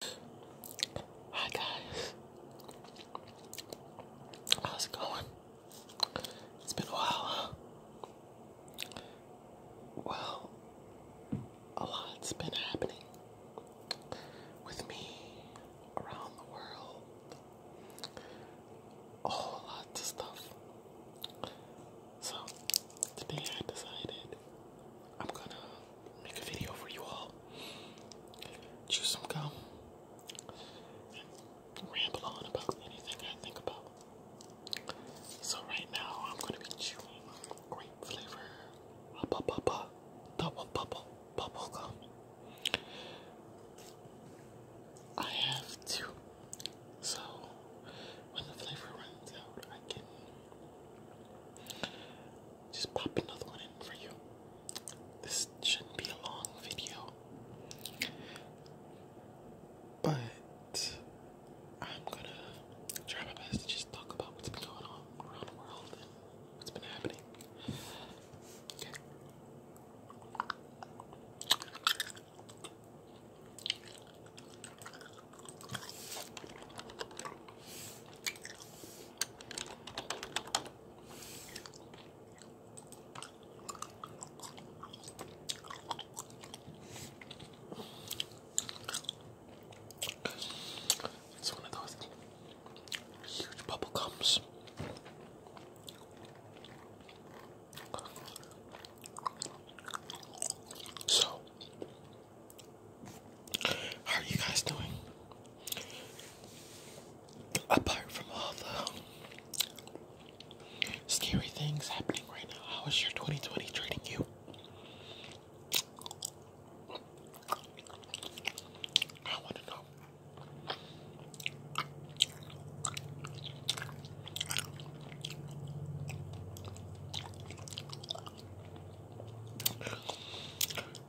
Hi guys, how's it going? It's been a while, Well, a lot's been happening with me around the world. A whole lot of stuff. So, today I decided I'm gonna make a video for you all. Chew some gum ramble on about anything I think about. So right now I'm gonna be chewing grape flavor bubble bubble double bubble bubble gum. I have two, so when the flavor runs out, I can just pop another one in for you. This shouldn't be a long video, but I'm gonna try my best to just talk about what's been going on around the world and what's been happening. It's one of those huge bubble gums. So how are you guys doing? Apart from all the scary things happening right now, how is your 2020 treating you? I want to know.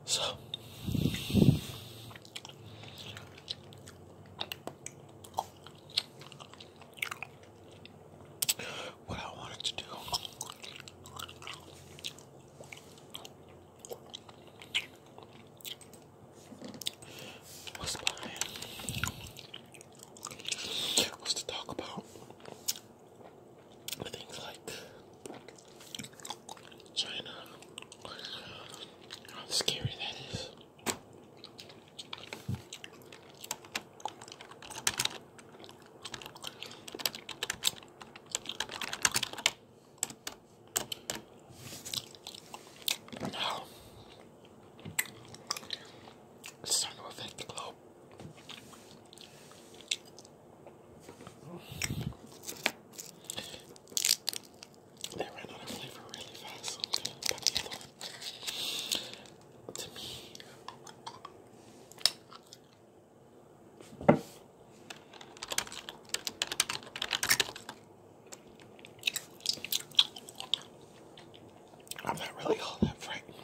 So what I wanted to do was, by, was to talk about things like China. How scary that is. it's starting to affect the globe. They ran out of flavor really fast, I'm I'm not really all that frightened.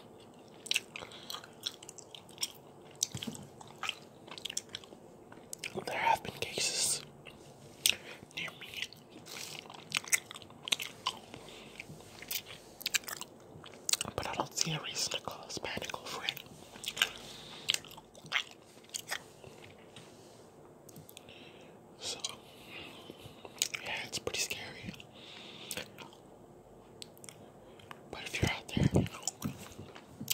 There have been cases near me but I don't see a reason to call panic over it. So yeah, it's pretty scary. But if you're out there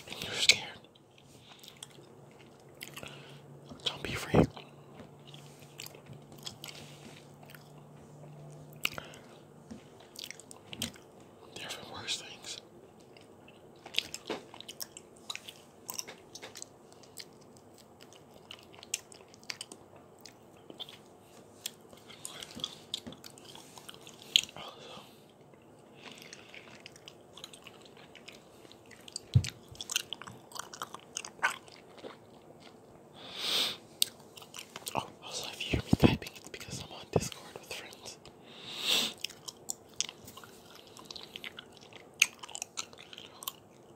and you're scared, don't be afraid. There have worse things. Oh, Oh, also if you hear me typing, it's because I'm on Discord with friends.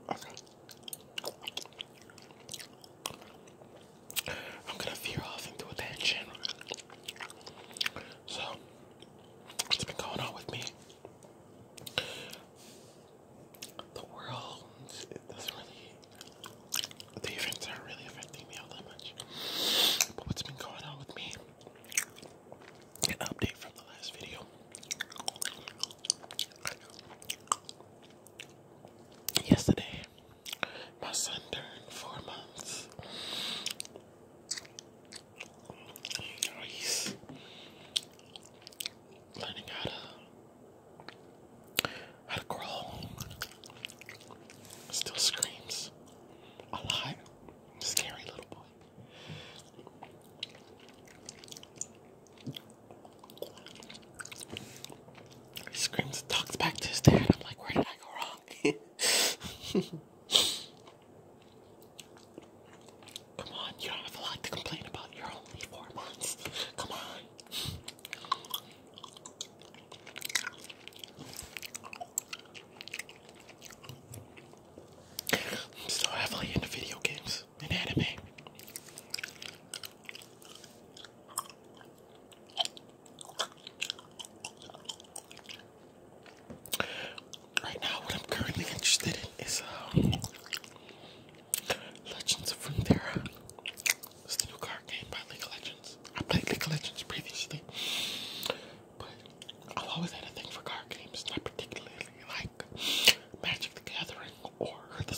Okay. I'm gonna veer off into attention. So, what's been going on with me? The world, it doesn't really, the events aren't really affecting me all that much. But what's been going on with me? An update from the last video. Yesterday, my son turned four months. Oh, learning how to how to crawl. Still screams a lot. Scary little boy. screams talks back to his dad. I'm like, where did I go wrong? Come on, you don't have a lot to complain about. You're only four months. Come on. I'm still heavily into video games and anime. Right now, what I'm currently interested in is um, Legends of Runeterra. It's the new card game by League of Legends. I played League of Legends previously, but I've always had a thing for card games, not particularly like Magic the Gathering or the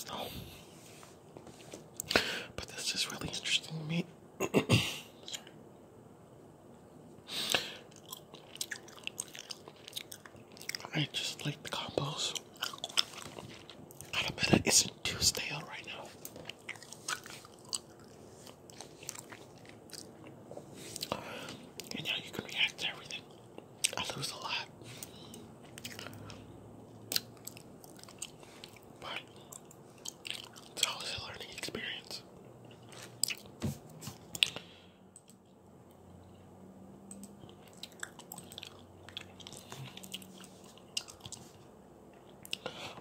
But this is really interesting to me. I just like the combos. Gotta bet it isn't too stale right now. And now you can react to everything. I lose a lot. But it's always a learning experience.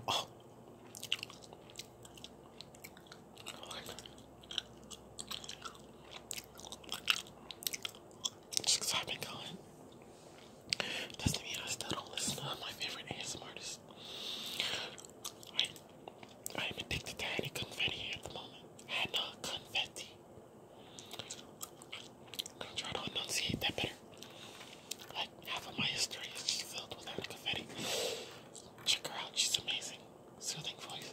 Oh. I like it. Just to be honest, I don't listen to my favorite ASM artists. I, I am addicted to Hannah Confetti at the moment. Hannah Confetti. I'm gonna try to enunciate that better. Like, half of my history is filled with Hannah Confetti. Check her out, she's amazing. Soothing voice.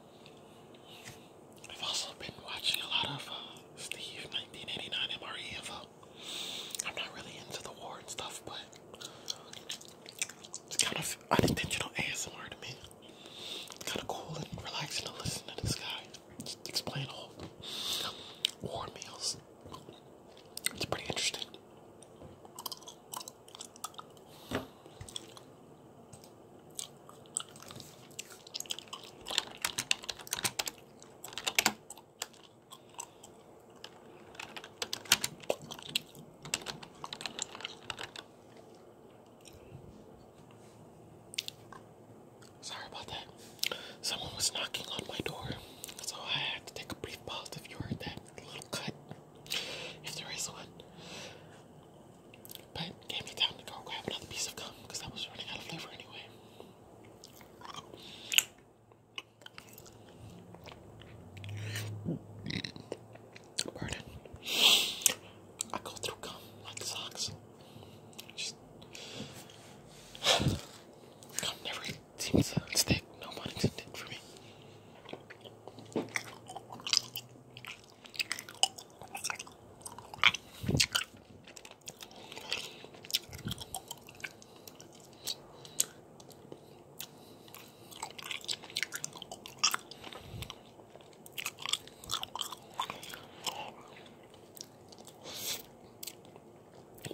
I've also been watching a lot of uh, Steve 1989 MRE info. I'm not really into the war and stuff, but it's kind of unintentional ASMR to me. It's kind of cool and relaxing to listen to this guy explain all war meals. It's pretty interesting. Sorry about that. Someone was knocking on my door, so I had to take a brief pause if you heard that little cut, if there is one. But gave me time to go grab another piece of gum because I was running out of flavor anyway. Burden. I go through gum like socks. gum never seems to stick. No pun intended for me.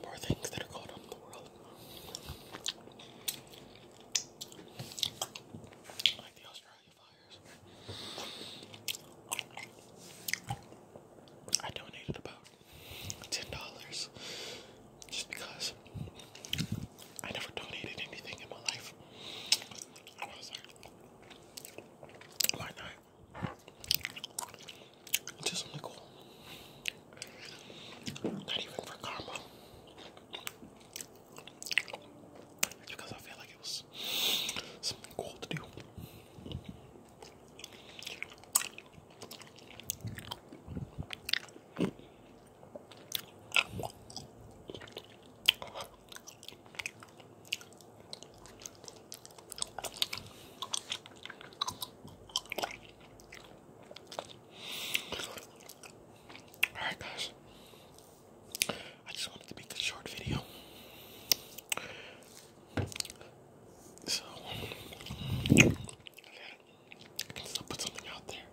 More things that are going on in the world. I donated about ten dollars just because I never donated anything in my life. like, why not? Just something Not even for karma. Because I feel like it was something cool to do. All right, guys. I just wanted to make a short video. So, I can still put something out there,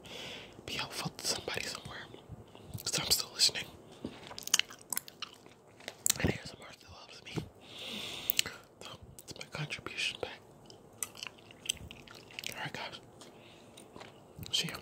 be helpful to somebody somewhere. Because I'm still listening. And ASMR still helps me. So, it's my contribution back. Alright, guys. See ya.